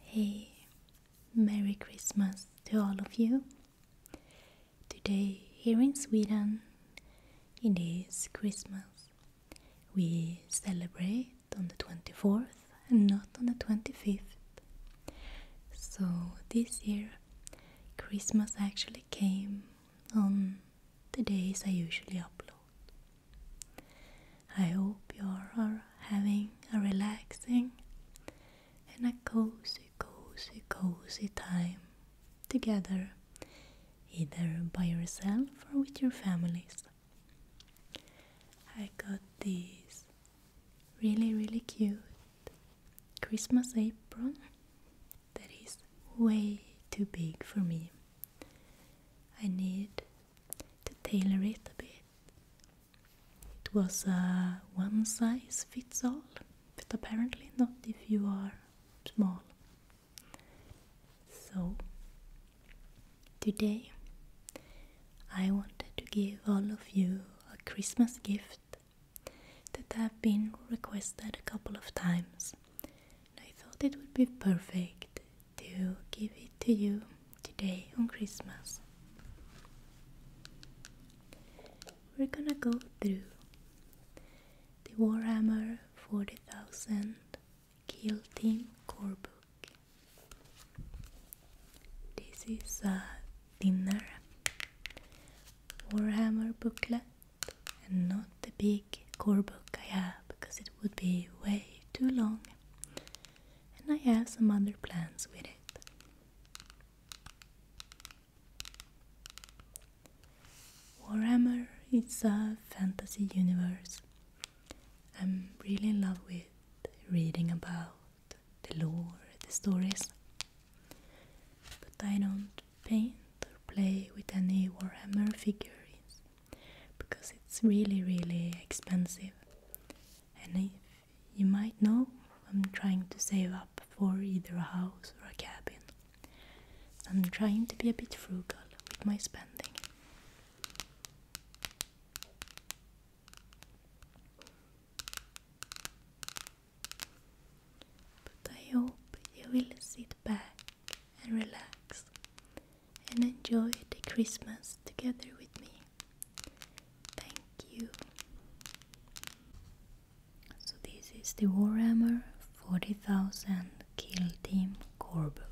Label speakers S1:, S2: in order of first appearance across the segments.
S1: Hey, Merry Christmas to all of you. Today, here in Sweden, it is Christmas. We celebrate on the 24th and not on the 25th. So, this year, Christmas actually came on the days I usually upload. I hope you are having a relaxing and a cozy, cozy, cozy time together, either by yourself or with your families. I got these really, really cute Christmas apron that is way too big for me. I need to tailor it a bit it was a one size fits all, but apparently not if you are small. So, today I wanted to give all of you a Christmas gift that i have been requested a couple of times. I thought it would be perfect to give it to you today on Christmas. We're gonna go through the Warhammer 40,000 Kill Team Core Book. This is a thinner Warhammer booklet and not the big core book I have because it would be way too long and I have some other plans with it. Warhammer is a fantasy universe. I'm really in love with reading about the lore, the stories. But I don't paint or play with any Warhammer figurines because it's really, really expensive. And if. You might know I'm trying to save up for either a house or a cabin. I'm trying to be a bit frugal with my spending. But I hope you will sit back and relax and enjoy the Christmas together with me. Thank you. So this is the Warhammer 40,000 Kill Team core book.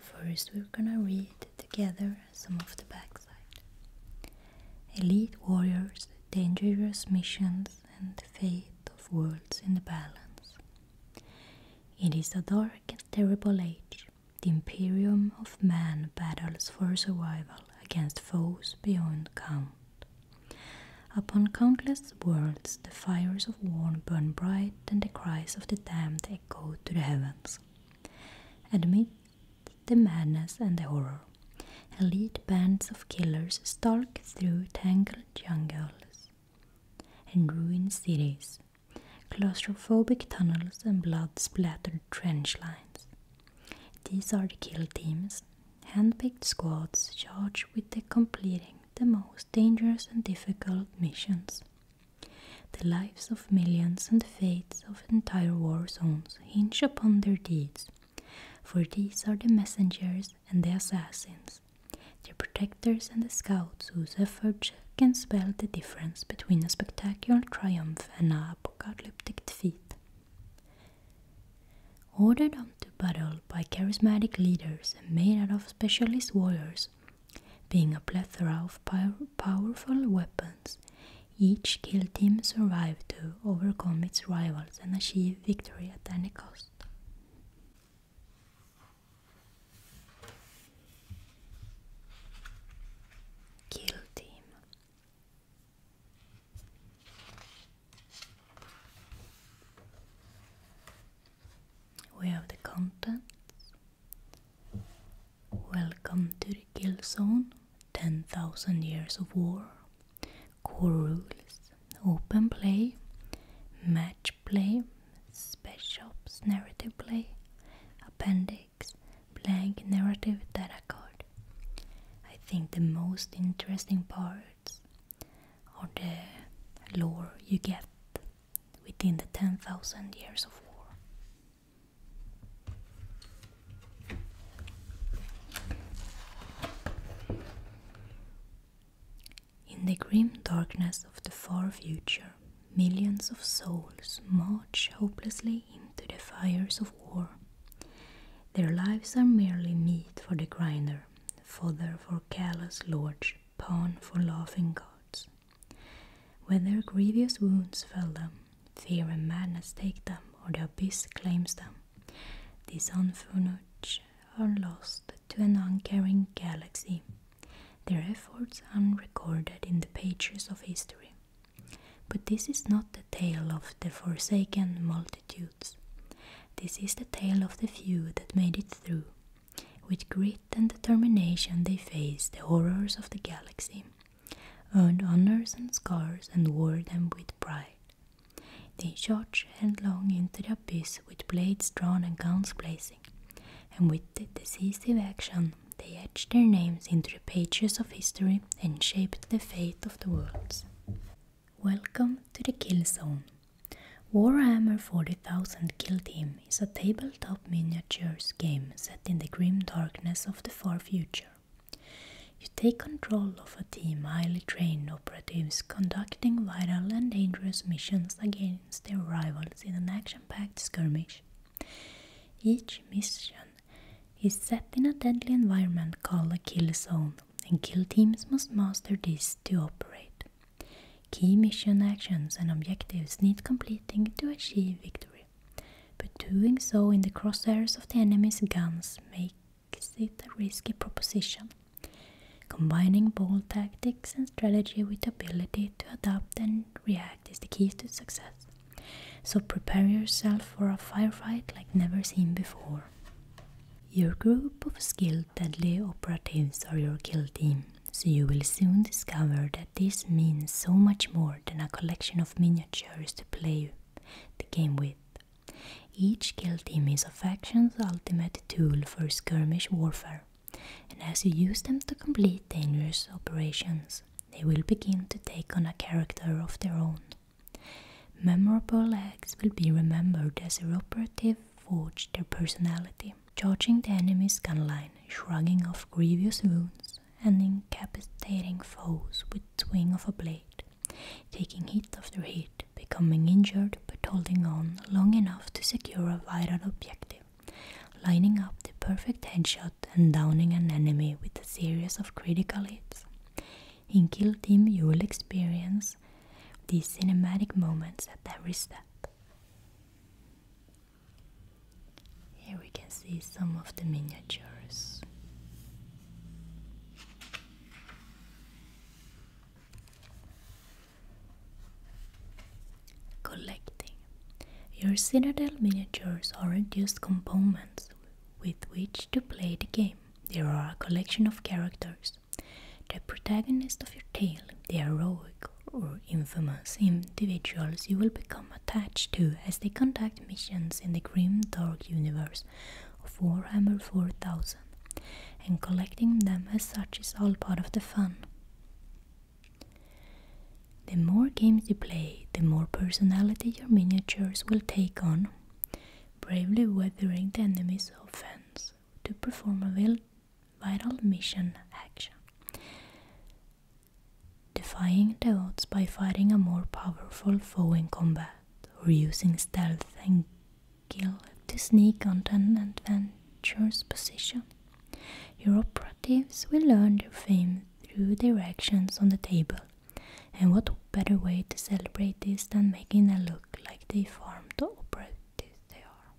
S1: First we're gonna read together some of the backside. Elite warriors, dangerous missions and the fate of worlds in the balance. It is a dark and terrible age the imperium of man battles for survival against foes beyond count. Upon countless worlds the fires of war burn bright and the cries of the damned echo to the heavens. Amid the madness and the horror, elite bands of killers stalk through tangled jungles and ruined cities, claustrophobic tunnels, and blood splattered trench lines. These are the kill teams, handpicked squads charged with completing the most dangerous and difficult missions. The lives of millions and the fates of entire war zones hinge upon their deeds, for these are the messengers and the assassins, the protectors and the scouts whose efforts can spell the difference between a spectacular triumph and a apocalyptic defeat. Ordered on to battle by charismatic leaders and made out of specialist warriors, being a plethora of powerful weapons, each kill team survived to overcome its rivals and achieve victory at any cost. Kill Team. We have the contents. Welcome to the Kill Zone. 10,000 years of war. Core rules. Open play. Match play. Special ops narrative play. Appendix blank narrative that occurred. I think the most interesting parts are the lore you get within the 10,000 years of war. In the grim darkness of the far future, Millions of souls march hopelessly into the fires of war. Their lives are merely meat for the grinder, fodder for callous lords, pawn for laughing gods. When their grievous wounds fell them, fear and madness take them, or the abyss claims them. These unfurnished are lost to an uncaring galaxy. Their efforts unrecorded in the pages of history. But this is not the tale of the forsaken multitudes. This is the tale of the few that made it through. With grit and determination, they faced the horrors of the galaxy, earned honors and scars, and wore them with pride. They charged headlong into the abyss with blades drawn and guns blazing, and with with their decisive action, they etched their names into the pages of history and shaped the fate of the world. Welcome to the Kill Zone. Warhammer 40,000 Kill Team is a tabletop miniatures game set in the grim darkness of the far future. You take control of a team of highly trained operatives conducting vital and dangerous missions against their rivals in an action-packed skirmish each mission is set in a deadly environment called a kill zone, and kill teams must master this to operate. Key mission actions and objectives need completing to achieve victory, but doing so in the crosshairs of the enemy's guns makes it a risky proposition. Combining bold tactics and strategy with the ability to adapt and react is the key to success. So prepare yourself for a firefight like never seen before. Your group of skilled deadly operatives are your kill team, so you will soon discover that this means so much more than a collection of miniatures to play the game with. Each kill team is a faction's ultimate tool for skirmish warfare, and as you use them to complete dangerous operations, they will begin to take on a character of their own. Memorable acts will be remembered as their operative forged their personality, charging the enemy's gunline, shrugging off grievous wounds, and incapacitating foes with swing of a blade, taking hit after hit, becoming injured but holding on long enough to secure a vital objective lining up the perfect headshot and downing an enemy with a series of critical hits. In Kill Team, you will experience these cinematic moments at every step. Here we can see some of the miniatures. Collecting. Your Citadel miniatures are the just components with which to play the game, There are a collection of characters. The protagonist of your tale, the heroic or infamous individuals you will become attached to as they conduct missions in the grim dark universe of Warhammer 4000, and collecting them as such is all part of the fun. The more games you play, the more personality your miniatures will take on, bravely weathering the enemy's offense to perform a vital mission action, defying the odds by fighting a more powerful foe in combat or using stealth and skill to sneak onto an adventurer's position. Your operatives will learn their fame through their actions on the table, and what better way to celebrate this than making them look like the form the operatives they are.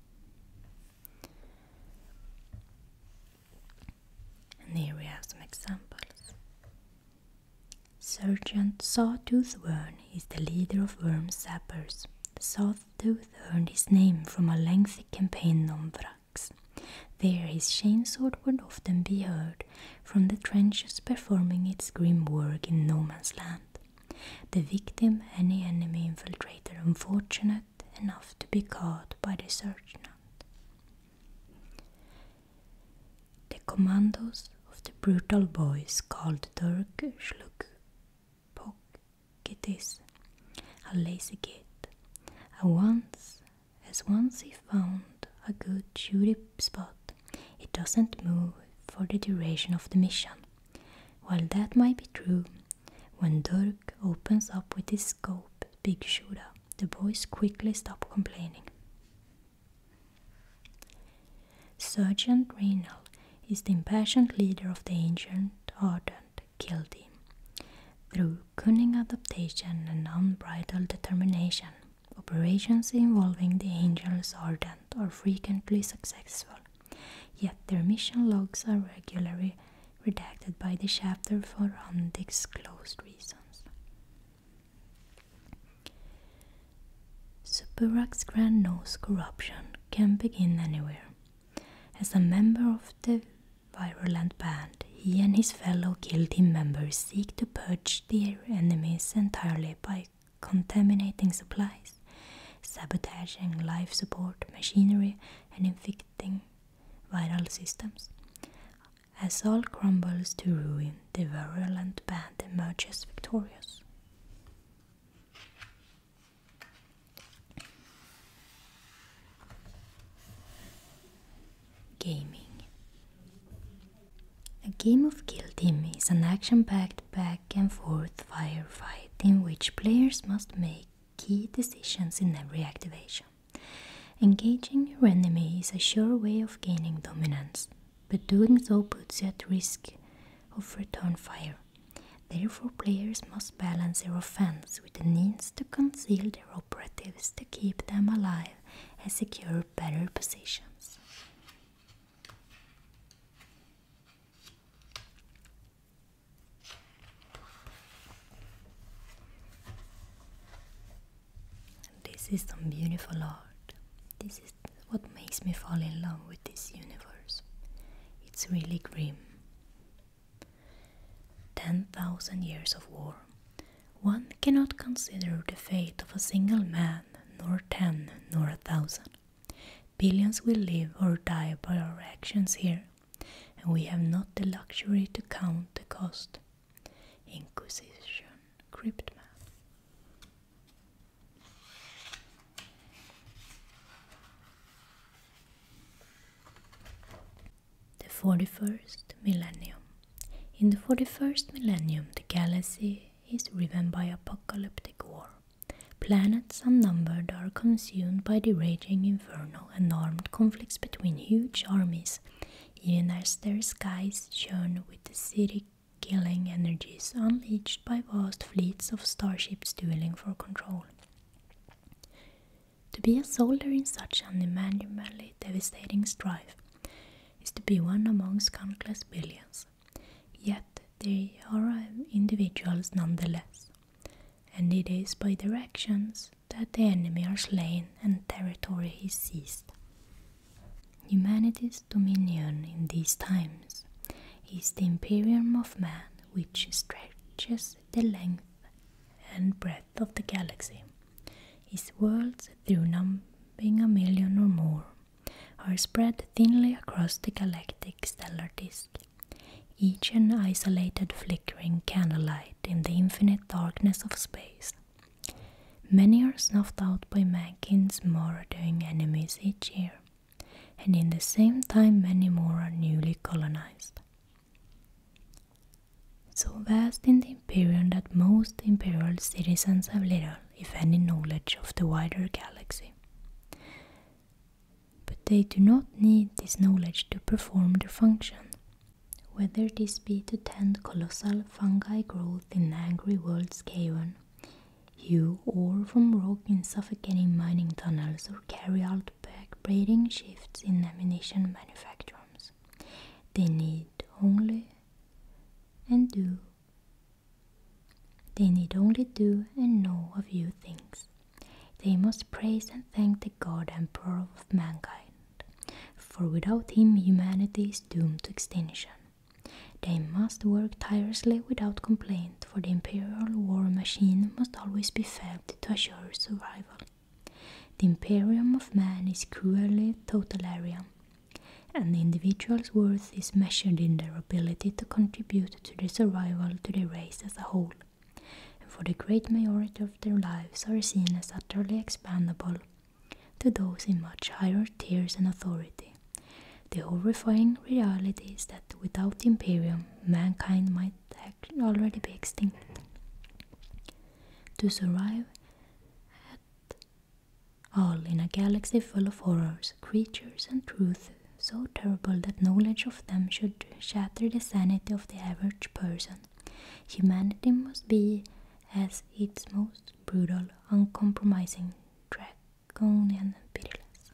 S1: And here we have some examples. Sergeant Sawtooth Worm is the leader of worm Zappers. Sawtooth earned his name from a lengthy campaign on there his chainsword would often be heard from the trenches performing its grim work in no man's land. The victim, any enemy infiltrator unfortunate enough to be caught by the search sergeant. The commandos of the brutal boys called Dirk Turk Slugpocketis, a lazy git, a once as once he found a good shooting spot, it doesn't move for the duration of the mission. While that might be true, when Dirk opens up with his scope, Big Shooter, the boys quickly stop complaining. Sergeant Reynal is the impassioned leader of the ancient Arden killed him through cunning adaptation and unbridled determination. Operations involving the angels ardent are frequently successful, yet their mission logs are regularly redacted by the chapter for undisclosed reasons. Superak's Grand Nose corruption can begin anywhere. As a member of the virulent band, he and his fellow guilty members seek to purge their enemies entirely by contaminating supplies, sabotaging life support machinery, and infecting viral systems. As all crumbles to ruin, the virulent band emerges victorious. Gaming. A game of Kill Team is an action packed back and forth firefight in which players must make key decisions in every activation. Engaging your enemy is a sure way of gaining dominance, but doing so puts you at risk of return fire. Therefore, players must balance their offense with the means to conceal their operatives to keep them alive and secure better positions. This is some beautiful art. This is what makes me fall in love with this universe. It's really grim, Ten thousand years of war. One cannot consider the fate of a single man, nor ten, nor a thousand. Billions will live or die by our actions here, and we have not the luxury to count the cost. Inquisition Cryptman. The 41st millennium. In the 41st millennium, the galaxy is riven by apocalyptic war. Planets unnumbered are consumed by the raging inferno and armed conflicts between huge armies, even as their skies shone with the city killing energies unleashed by vast fleets of starships dueling for control. To be a soldier in such an immanually devastating strife is to be one amongst countless billions. Yet they are individuals nonetheless, and it is by their actions that the enemy are slain and territory is seized. Humanity's dominion in these times is the imperium of man which stretches the length and breadth of the galaxy, his worlds through numbering a million or more, are spread thinly across the galactic stellar disk, each an isolated flickering candlelight in the infinite darkness of space. Many are snuffed out by mankind's murdering enemies each year, and in the same time many more are newly colonized so vast in the Imperium that most Imperial citizens have little, if any, knowledge of the wider galaxy. But they do not need this knowledge to perform their function, whether this be to tend colossal fungi growth in angry world's cavern, hew ore from rock in suffocating mining tunnels, or carry out backbreaking shifts in ammunition manufactories. They need only and do. They need only do and know a few things. They must praise and thank the God Emperor of mankind, for without him humanity is doomed to extinction. They must work tirelessly without complaint, for the imperial war machine must always be fed to assure survival. The imperium of man is cruelly totalitarian, and the individual's worth is measured in their ability to contribute to the survival of the race as a whole, and for the great majority of their lives are seen as utterly expendable to those in much higher tiers and authority. The horrifying reality is that without the Imperium, mankind might already be extinct. To survive, hat. All in a galaxy full of horrors, creatures, and truths so terrible that knowledge of them should shatter the sanity of the average person. Humanity must be, as its most brutal, uncompromising, draconian, pitiless.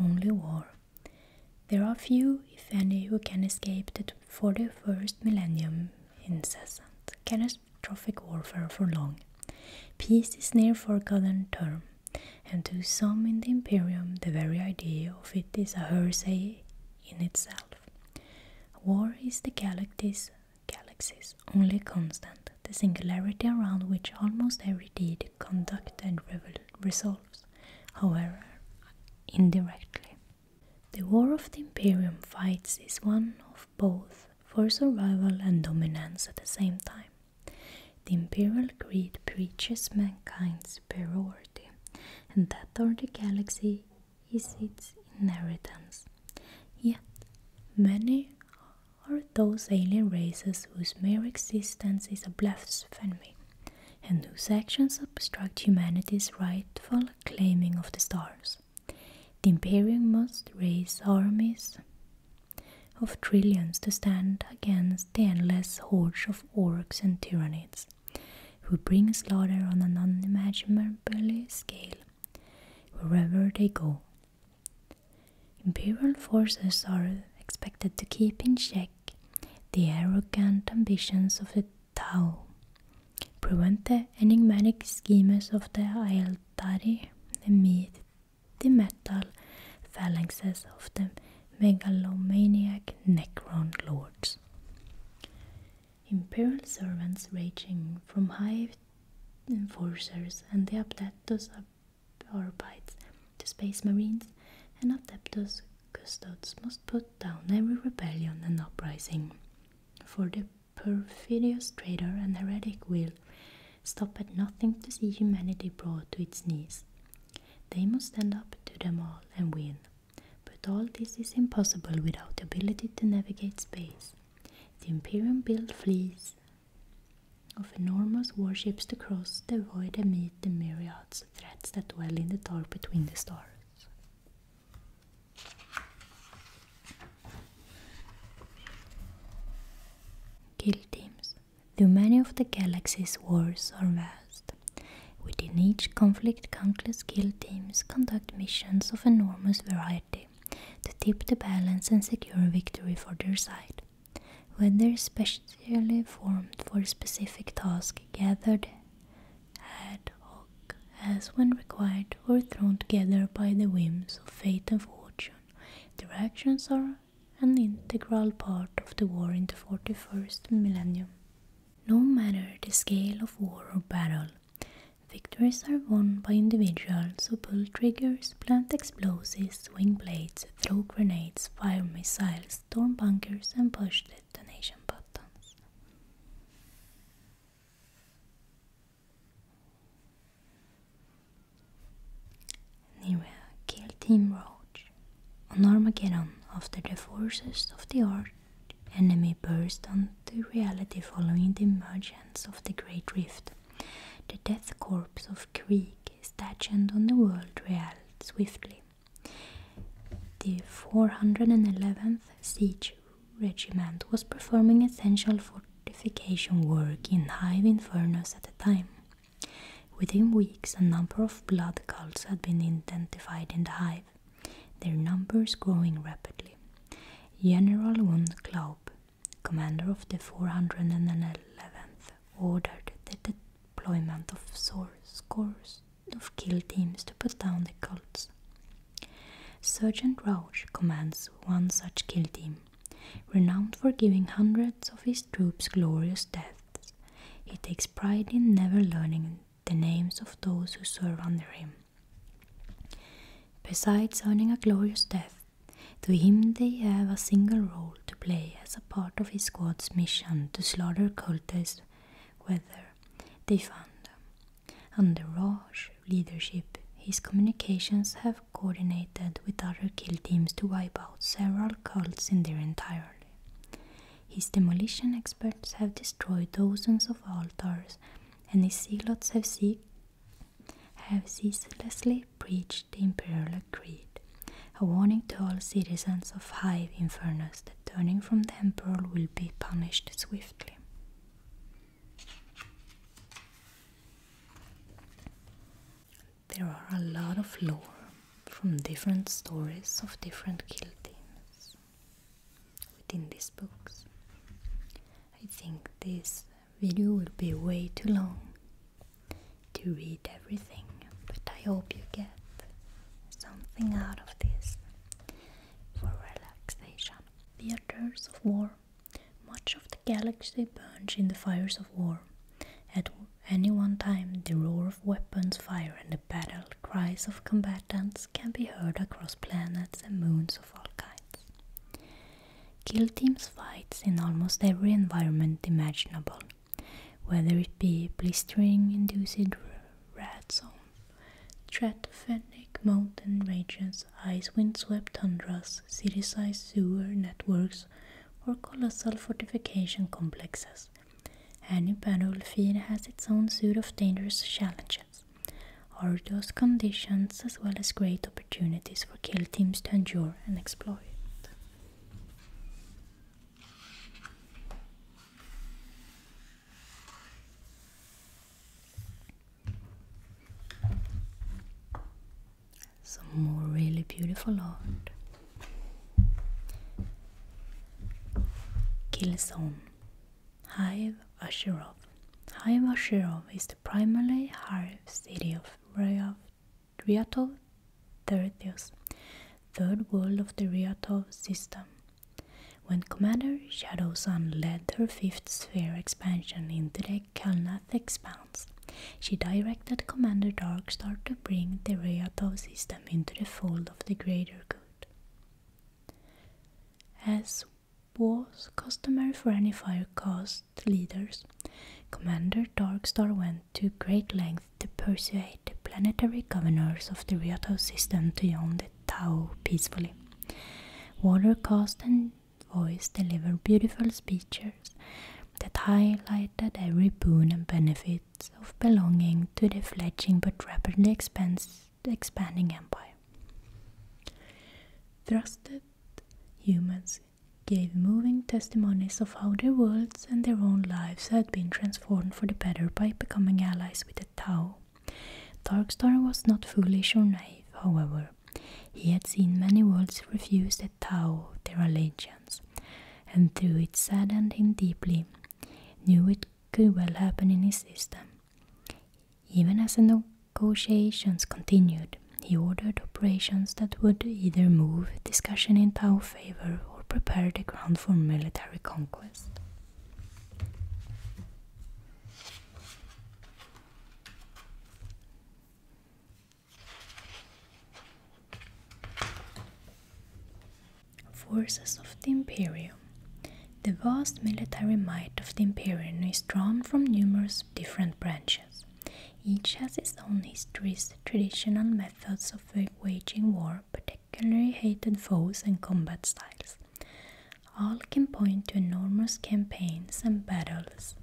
S1: Only war. There are few, if any, who can escape the 41st millennium incessant catastrophic warfare for long. Peace is near forgotten term, and to some in the Imperium the very idea of it is a heresy in itself. War is the galaxy's, galaxy's only constant, the singularity around which almost every deed conduct, conducted resolves, however indirectly. The War of the Imperium fights is one of both for survival and dominance at the same time. The imperial creed preaches mankind's superiority and that of the galaxy is its inheritance. Yet, many are those alien races whose mere existence is a blasphemy, and whose actions obstruct humanity's rightful claiming of the stars. The Imperium must raise armies of trillions to stand against the endless hordes of orks and tyrannids who bring slaughter on an unimaginably scale wherever they go. Imperial forces are expected to keep in check the arrogant ambitions of the Tao, prevent the enigmatic schemes of the Aeldari, the meat, the metal phalanxes of the megalomaniac Necron lords imperial servants ranging from high enforcers and the Adeptus Arbites to space marines and Adeptus Custodes must put down every rebellion and uprising. For the perfidious traitor and heretic will stop at nothing to see humanity brought to its knees. They must stand up to them all and win. But all this is impossible without the ability to navigate space. The Imperium built fleets of enormous warships to cross the void and meet the myriads of threats that dwell in the dark between the stars. Kill teams. The many of the galaxy's wars are vast. Within each conflict, countless skill teams conduct missions of enormous variety to tip the balance and secure victory for their side. When they're specially formed for a specific task, gathered ad hoc as when required, or thrown together by the whims of fate and fortune, their actions are an integral part of the war in the 41st millennium. No matter the scale of war or battle, victories are won by individuals who pull triggers, plant explosives, swing blades, throw grenades, fire missiles, storm bunkers, and push detonation buttons. Nira killed Team Roach on Armageddon after the forces of the Earth enemy burst onto reality following the emergence of the Great Rift. The death corpse of Krieg stationed on the world reeled swiftly. The 411th Siege Regiment was performing essential fortification work in Hive Infernus at the time. Within weeks, a number of blood cults had been identified in the Hive, their numbers growing rapidly. General von Klaub, commander of the 411th, ordered the deployment of scores of kill teams to put down the cults. Sergeant Rauch commands one such kill team. Renowned for giving hundreds of his troops glorious deaths, he takes pride in never learning the names of those who serve under him. Besides earning a glorious death, to him they have a single role to play as a part of his squad's mission to slaughter cultists whether they found them. Under Raj's leadership, his communications have coordinated with other kill teams to wipe out several cults in their entirety. His demolition experts have destroyed dozens of altars and the zealots have, see have ceaselessly preached the imperial creed, a warning to all citizens of Hive Infernus that turning from the emperor will be punished swiftly. There are a lot of lore from different stories of different kill within these books. I think this video will be way too long to read everything, but I hope you get something out of this for relaxation. Theaters of war. Much of the galaxy burns in the fires of war. At any one time, the roar of weapons, fire, and the battle cries of combatants can be heard across planets and moons of all kinds. Kill Team's fight in almost every environment imaginable, whether it be blistering, induced rat zone, stratophenic mountain ranges, ice wind-swept tundras, city-sized sewer networks, or colossal fortification complexes. Any battlefield has its own suite of dangerous challenges are those conditions as well as great opportunities for kill teams to endure and exploit. Some more really beautiful art. Kill zone. Hive Ashirov. Hive Ashirov is the primary hive city of Ryatov Tertius, third world of the Ryatov system. When Commander Shadow Sun led her fifth sphere expansion into the Kalnath expanse, she directed Commander Darkstar to bring the Ryatov system into the fold of the greater good. As was customary for any fire caste leaders, Commander Darkstar went to great length to persuade the planetary governors of the Ryoto system to join the Tao peacefully. Water caste and voice delivered beautiful speeches that highlighted every boon and benefit of belonging to the fledgling but rapidly expanding expanding empire. Thrusted humans gave moving testimonies of how their worlds and their own lives had been transformed for the better by becoming allies with the Tao. Darkstar was not foolish or naive, however. He had seen many worlds refuse the Tao their allegiance, and though it saddened him deeply, knew it could well happen in his system. Even as the negotiations continued, he ordered operations that would either move discussion in Tao favor or prepare the ground for military conquest. Forces of the Imperium the vast military might of the Imperium is drawn from numerous different branches. Each has its own histories, tradition, and methods of waging war, particularly hated foes and combat styles. All can point to enormous campaigns and battles.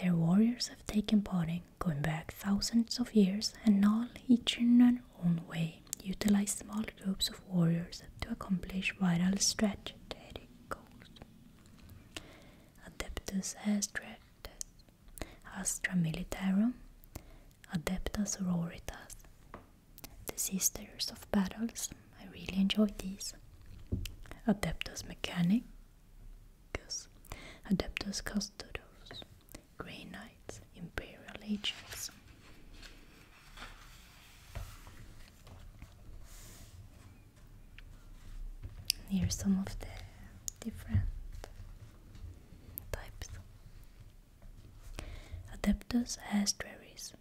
S1: Their warriors have taken part in, going back thousands of years, and all each in their own way. Utilize small groups of warriors to accomplish vital strategic goals. Adeptus Astratus, Astra Militarum, Adeptus Sororitas, the Sisters of Battles, I really enjoyed these. Adeptus Mechanicus, Adeptus Custodos, Grey Knights, Imperial Agents. Here are some of the different types. Adeptus Astraris.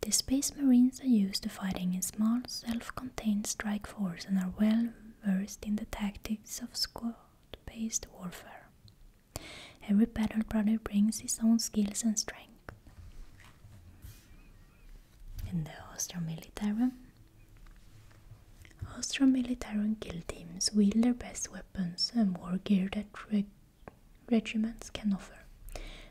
S1: The Space Marines are used to fighting in small, self-contained strike force and are well versed in the tactics of squad-based warfare. Every battle brother brings his own skills and strength. In the Austro-Military, austro Austromilitarum kill teams wield their best weapons and war gear that regiments can offer.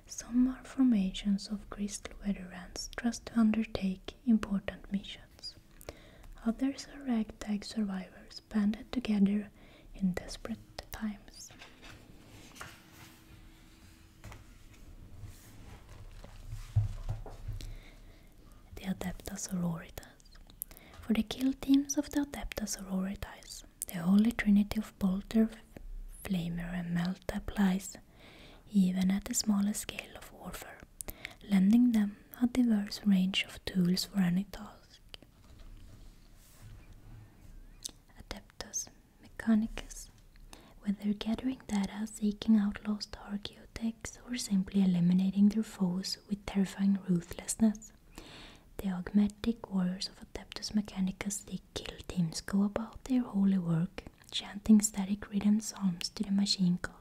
S1: Some are formations of crystal veterans trust to undertake important missions. Others are ragtag survivors banded together in desperate times. The Adeptus Sororitas. For the kill teams of the Adeptus Sororitas, the Holy Trinity of Bolter, Flamer, and Melt applies even at the smallest scale of warfare, lending them a diverse range of tools for any task. Adeptus Mechanicus. Whether gathering data, seeking out lost archaeotechs, or simply eliminating their foes with terrifying ruthlessness, the augmetic warriors of Adeptus Mechanicus, they kill teams, go about their holy work, chanting static rhythm psalms to the machine god.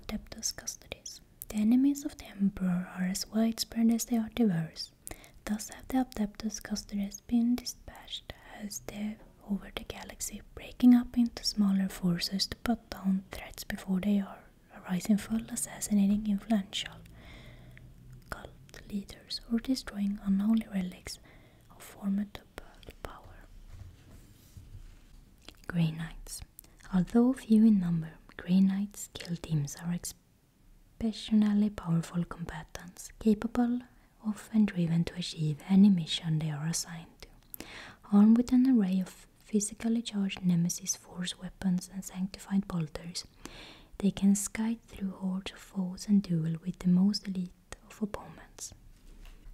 S1: Adeptus Custodes. The enemies of the Emperor are as widespread as they are diverse. Thus have the Adeptus Custodes been dispatched as they over the galaxy, breaking up into smaller forces to put down threats before they are arising full, assassinating influential cult leaders, or destroying unholy relics of former Grey Knights. Although few in number, Grey Knights kill teams are exceptionally powerful combatants, capable of and driven to achieve any mission they are assigned to. Armed with an array of physically charged Nemesis Force weapons and sanctified bolters, they can skite through hordes of foes and duel with the most elite of opponents.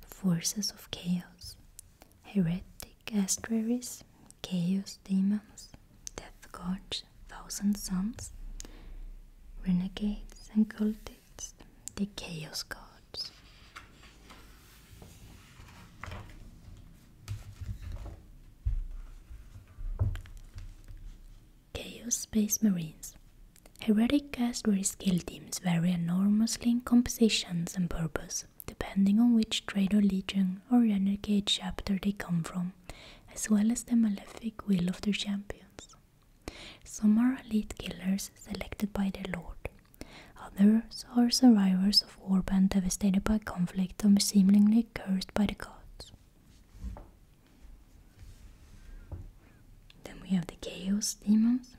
S1: Forces of chaos, heretic astraries, chaos demons, death gods, thousand sons, renegades and cultists, the chaos gods. Chaos Space Marines. Heretic castery skill teams vary enormously in compositions and purpose, depending on which trade or legion or renegade chapter they come from, as well as the malefic will of their champions. Some are elite killers selected by their lord. Others are survivors of warband devastated by conflict and seemingly cursed by the gods. Then we have the Chaos demons.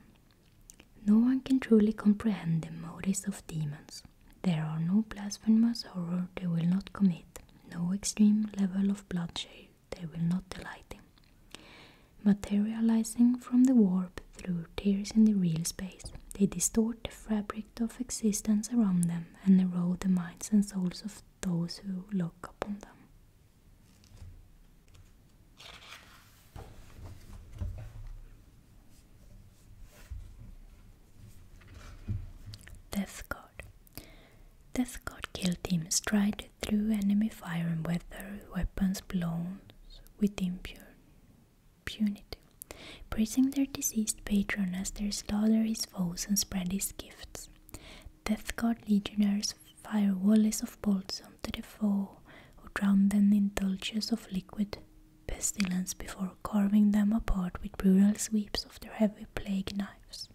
S1: No one can truly comprehend the motives of demons. There are no blasphemous horror they will not commit, no extreme level of bloodshed they will not delight in. Materializing from the warp through tears in the real space, they distort the fabric of existence around them and erode the minds and souls of those who look upon them. Death God. Death God killed him straight through enemy fire and weather, weapons blown with impure impunity, praising their deceased patron as they slaughter his foes and spread his gifts. Death God legionnaires fire volleys of bolts onto the foe, who drown them in gulches of liquid pestilence before carving them apart with brutal sweeps of their heavy plague knives.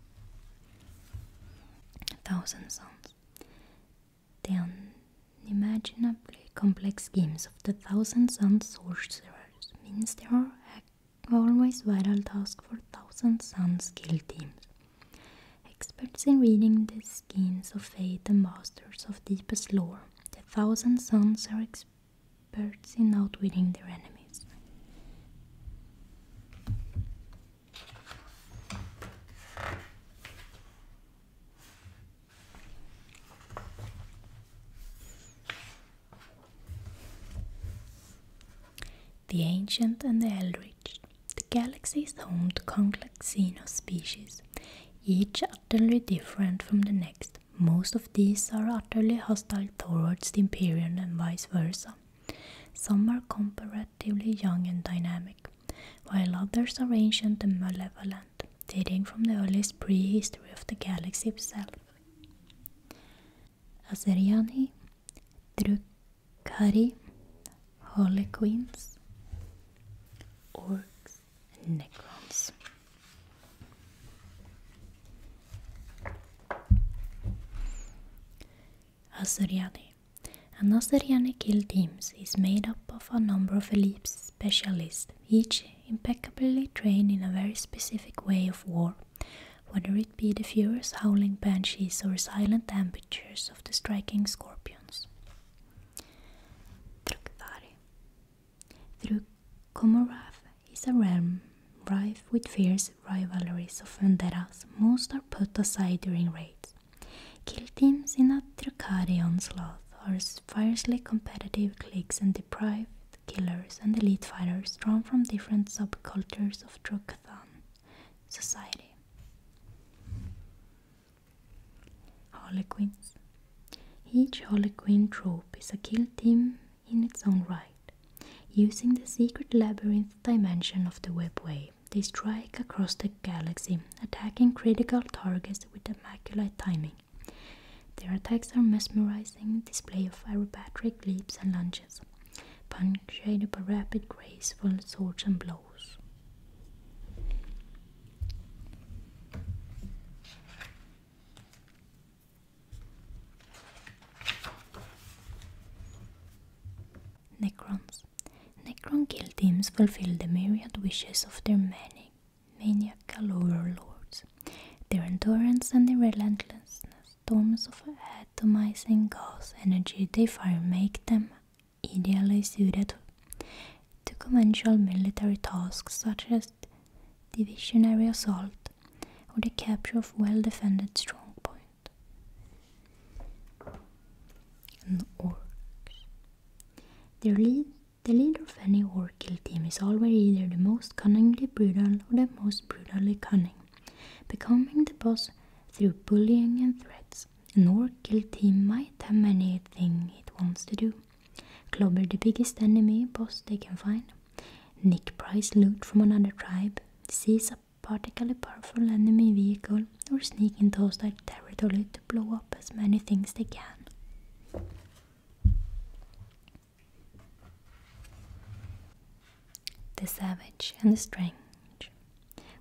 S1: A thousand Sons. The unimaginably complex schemes of the Thousand Sons sorcerers means there are always vital tasks for Thousand Sons skilled teams Experts in reading the schemes of fate and masters of deepest lore, the thousand sons are experts in outwitting their enemies. The Ancient and the Eldritch the galaxy is home to complex xenos species, each utterly different from the next. Most of these are utterly hostile towards the Imperium and vice versa. Some are comparatively young and dynamic, while others are ancient and malevolent, dating from the earliest pre-history of the galaxy itself. Azeriani, Cuddy, queens, Orcs, and Necrons. Azuriani. An Azuriani kill teams is made up of a number of elite specialists, each impeccably trained in a very specific way of war, whether it be the furious howling banshees or silent ambushers of the striking scorpion. Trukthari. Through Komorath is a realm rife with fierce rivalries of vendettas. Most are put aside during raids. Kill teams in a Trukari slough are fiercely competitive cliques and depraved killers and elite fighters drawn from different subcultures of Trukathan society. Harlequins. Each Harlequin troop is a kill team in its own right. Using the secret labyrinth dimension of the webway, they strike across the galaxy, attacking critical targets with immaculate timing. Their attacks are mesmerizing display of aerobatic leaps and lunges, punctuated by rapid, graceful swords and blows. Necrons. Necron kill teams fulfill the myriad wishes of their many maniacal overlords. Their endurance and their relentlessness, storms of atomizing gas energy they fire make them ideally suited to conventional military tasks such as divisionary assault or the capture of well-defended strongpoint. And orcs. the leader of any orc kill team is always either the most cunningly brutal or the most brutally cunning, becoming the boss through bullying and threats nor guilty might have anything it wants to do. clubber the biggest enemy boss they can find. Nick prize loot from another tribe. Seize a particularly powerful enemy vehicle or sneak into hostile territory to blow up as many things they can. The Savage and the Strange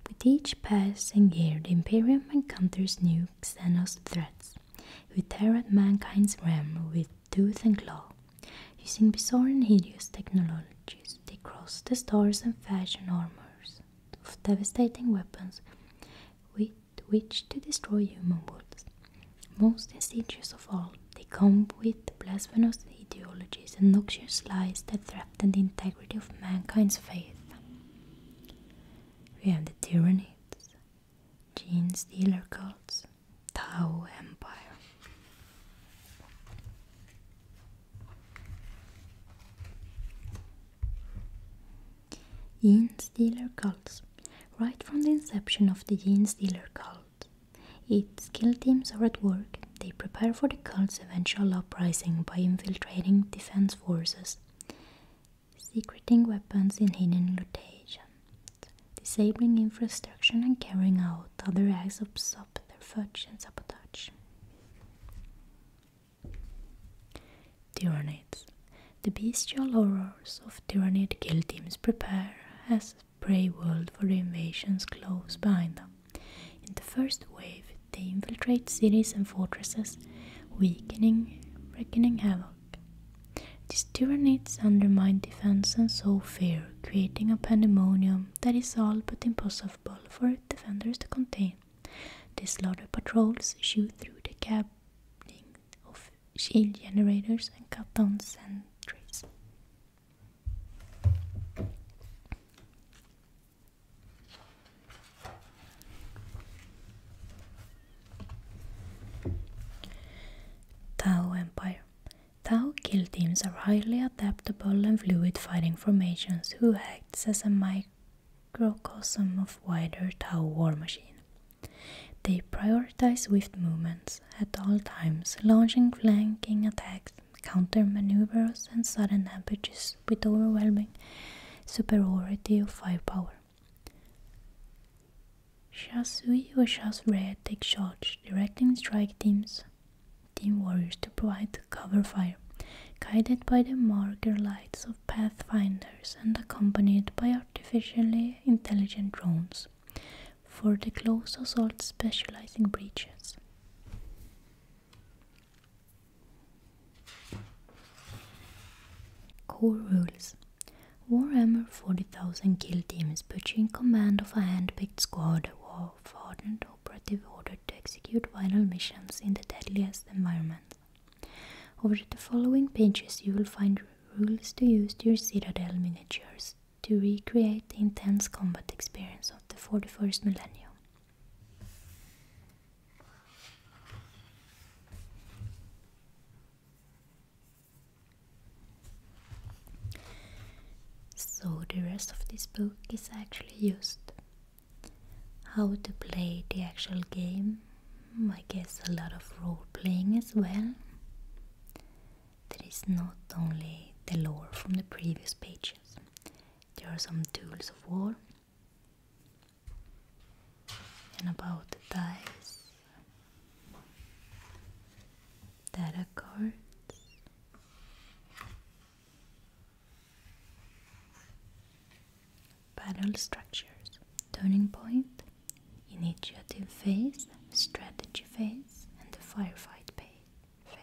S1: with each pass and year, the Imperium encounters new Xenos threats, who tear at mankind's realm with tooth and claw. Using bizarre and hideous technologies, they cross the stars and fashion armors of devastating weapons with which to destroy human worlds. Most insidious of all, they come with blasphemous ideologies and noxious lies that threaten than the integrity of mankind's faith. We have the Tyranids, Gene Stealer cults, Tao Empire. Gene Stealer cults. Right from the inception of the Gene Stealer cult, its skill teams are at work. They prepare for the cult's eventual uprising by infiltrating defense forces Secreting weapons in hidden locations, Disabling infrastructure and carrying out other acts of subterfuge and sabotage. Tyranids. The bestial horrors of tyrannid kill teams prepare as prey world for invasions close behind them. In the first wave, they infiltrate cities and fortresses, weakening, wreaking havoc. These tyrannids undermine defense and sow fear, creating a pandemonium that is all but impossible for defenders to contain. They slaughter patrols, shoot through the cabling of shield generators, and cut down sentries. Tao Empire Tao kill teams are highly adaptable and fluid fighting formations who acts as a microcosm of wider Tao war machine. They prioritize swift movements at all times, launching flanking attacks, counter maneuvers, and sudden ambushes with overwhelming superiority of firepower. Shasui or Shas Red take charge, directing strike teams, team warriors to provide cover fire, guided by the marker lights of pathfinders and accompanied by artificially intelligent drones for the close assault specializing breaches. Core rules Warhammer 40,000 Kill Team is put you in command of a hand-picked squad of hardened operative ordered to execute vital missions in the deadliest environments. Over the following pages you will find rules to use your Citadel miniatures to recreate the intense combat experience of the 41st millennium. So the rest of this book is actually used how to play the actual game. I guess a lot of role playing as well. There is not only the lore from the previous pages. There are some tools of war and about the dice data cards Battle structures, turning point, initiative phase, strategy phase, and the firefight phase.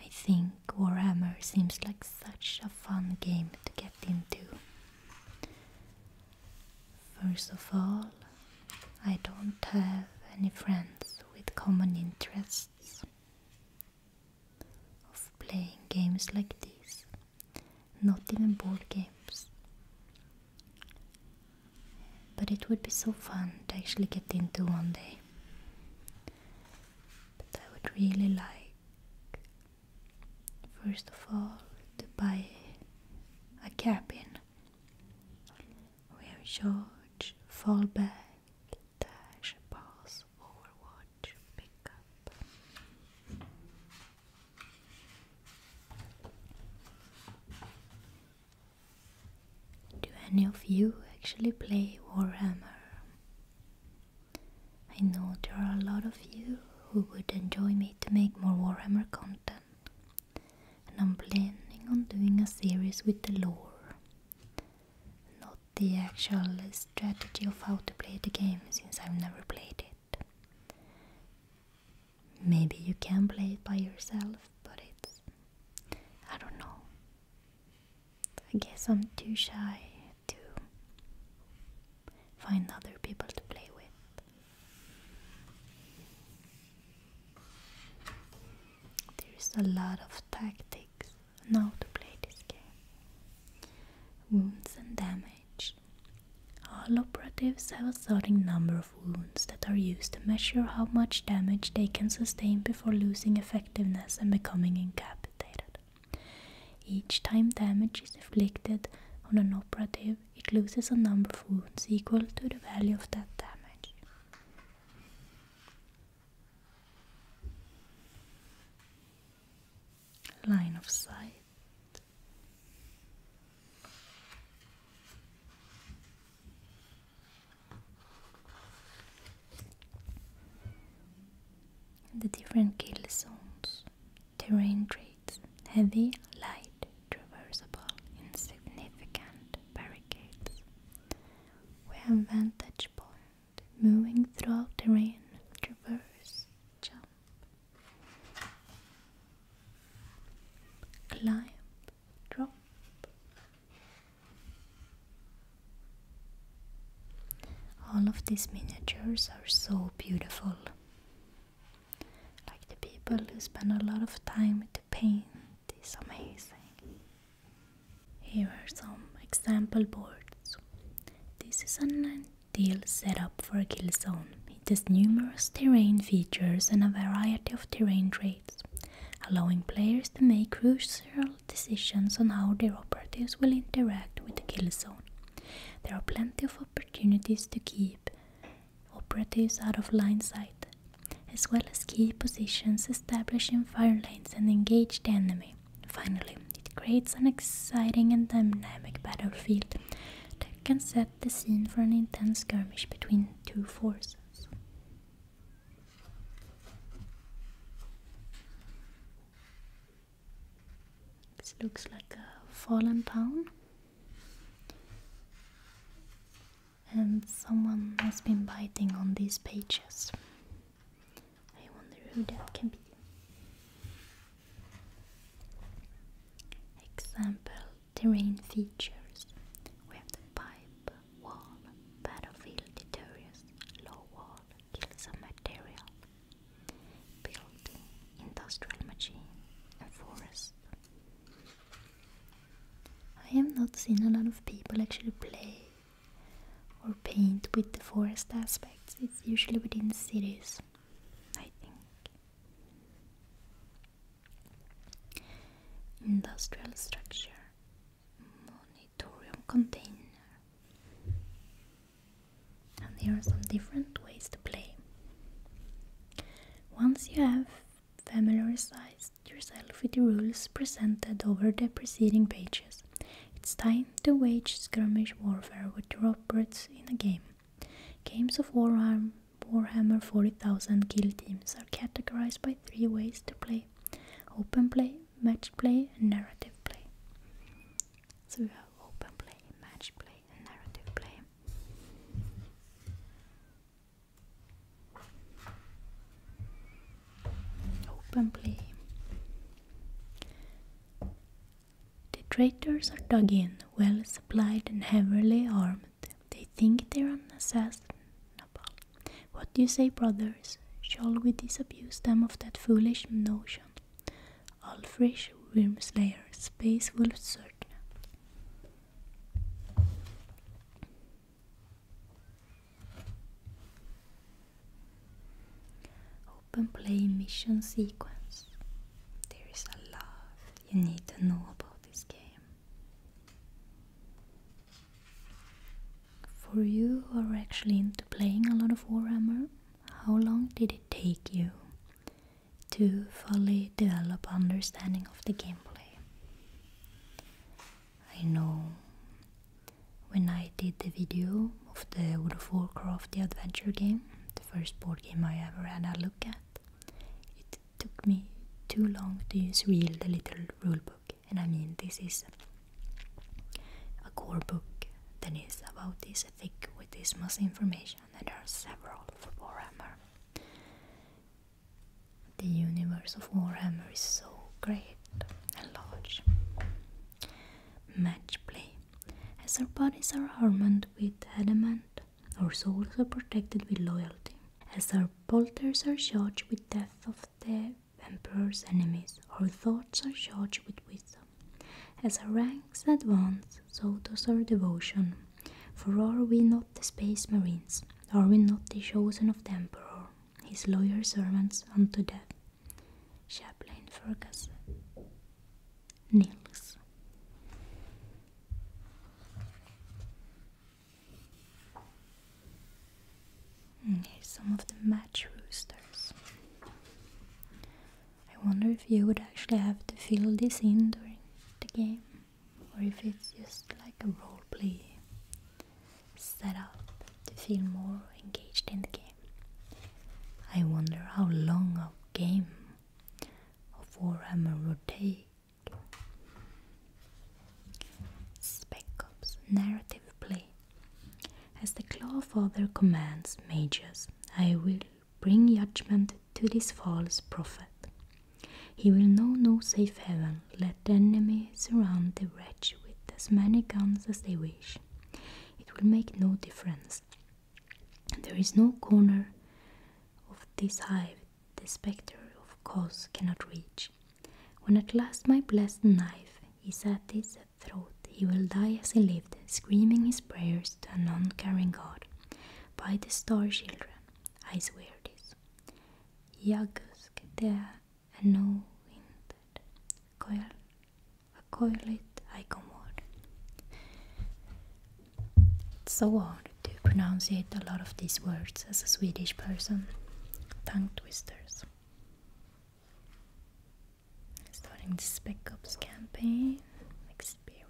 S1: I think Warhammer seems like such a fun game to get into. First of all, I don't have any friends with common interests of playing games like this, not even board games. But it would be so fun to actually get into one day. But I would really like, first of all, to buy a cabin where George fall back, dash, pass, overwatch, pick up. Do any of you actually play Warhammer? I know there are a lot of you who would enjoy me to make more Warhammer content, and I'm planning on doing a series with the lore, not the actual strategy of how to play the game since I've never played it. Maybe you can play it by yourself, but it's. I don't know. I guess I'm too shy to find other people to play with. There's a lot of tactics now to play this game. Wounds and damage. All operatives have a certain number of wounds that are used to measure how much damage they can sustain before losing effectiveness and becoming incapacitated. Each time damage is inflicted on an operative, it loses a number of wounds equal to the value of that damage. Line of sight. The different kill zones, terrain traits, heavy, light, traversable, insignificant barricades. We have vantage point, moving throughout terrain, traverse, jump, climb, drop, all of these miniatures are so beautiful. Like the people who spend a lot of time to paint it's amazing. Here are some example boards. This is an ideal setup for Killzone. It has numerous terrain features and a variety of terrain traits, allowing players to make crucial decisions on how their operatives will interact with the kill zone. There are plenty of opportunities to keep operatives out of line sight, as well as key positions established in fire lanes and engage the enemy. Finally, it creates an exciting and dynamic battlefield that can set the scene for an intense skirmish between two forces. This looks like a fallen town. And someone has been biting on these pages. I wonder who that can be. Example terrain features. We have the pipe, wall, battlefield deteriorates, low wall kills some material, building, industrial machine, forest. I have not seen a lot of people actually play or paint with the forest aspects, it's usually within cities, I think. Industrial structure monitorium container. And there are some different ways to play. Once you have familiarized yourself with the rules presented over the preceding pages, it's time to wage skirmish warfare with your operates in a game. Games of Warhammer, Warhammer 40,000 Guild teams are categorized by three ways to play. Open play, match play, and narrative play. So we have open play, match play, and narrative play. Open play. The traitors are dug in, well supplied and heavily armed. They think they're unassailable. What do you say, brothers? Shall we disabuse them of that foolish notion? Ulfrish, Wormslayer, Space Wolf Surgeon. Open play mission sequence. There is a lot you need to know about this game. For you who are actually into playing a lot of Warhammer, how long did it take you to fully develop understanding of the gameplay? I know when I did the video of the World of Warcraft the adventure game, the first board game I ever had a look at, it took me too long to use real the little rulebook and I mean this is a core book that is about this thick with this much information and there are several for Warhammer. The universe of Warhammer is so great and large. Match play. As our bodies are armoured with adamant, our souls are protected with loyalty. As our bolters are charged with death of the emperor's enemies, our thoughts are charged with wisdom. As our ranks advance, so does our devotion. For are we not the space marines? Are we not the chosen of the emperor, his loyal servants unto death? Chaplain Fergus Nils. Mm, some of the match roosters. I wonder if you would actually have to fill this in during the game, or if it's just like a role roleplay setup to feel more engaged in the game. I wonder how long a game of Warhammer would take. Spec Ops narrative play. As the claw of other commands, Magus, I will bring judgment to this false prophet. He will know no safe haven. Let the enemy surround the wretch with as many guns as they wish. It will make no difference. There is no corner of this hive the spectre of cause cannot reach. When at last my blessed knife is at his throat, he will die as he lived, screaming his prayers to a non-caring God. By the star children, I swear this. Jagusk the anointed, coil, a coiled icomord. It's so hard to pronounce it, a lot of these words, as a Swedish person. Tongue twisters. Starting the Spec Ops campaign experience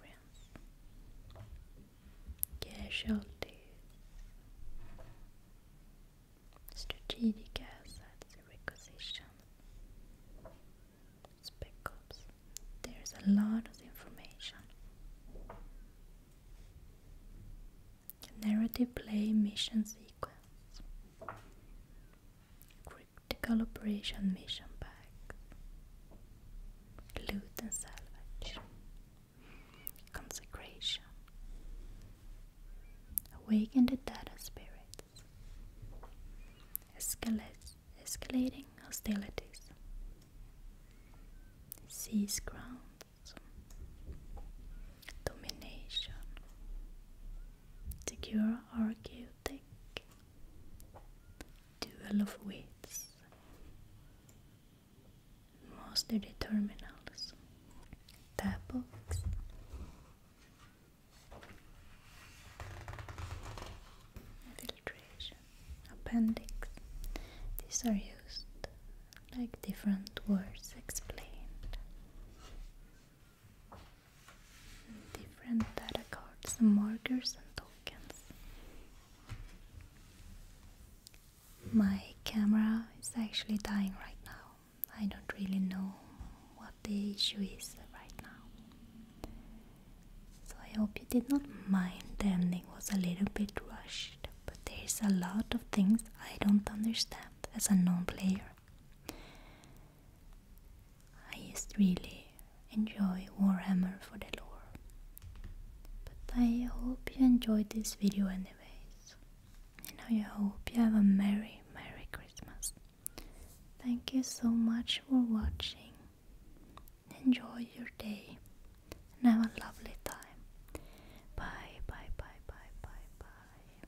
S1: casualties strategic assets requisition Spec Ops. There's a lot of information. Narrative play mission sequence. Critical operation mission bags, loot and salvage, consecration, awaken the dead spirits, Escalate, escalating hostilities, seize grounds, domination, the Cure Architect Duel of Wits Master the Terminals Tapbox filtration, Appendix These are used like different words explained different data cards markers and tokens. My camera is actually dying right now. I don't really know what the issue is right now. So I hope you did not mind the ending was a little bit rushed, but there's a lot of things I don't understand as a non-player. I just really enjoy Warhammer for the lore. But I hope you enjoyed this video anyways. And I hope you have a merry, merry Christmas. Thank you so much for watching. Enjoy your day and have a lovely time. Bye, bye, bye, bye, bye, bye.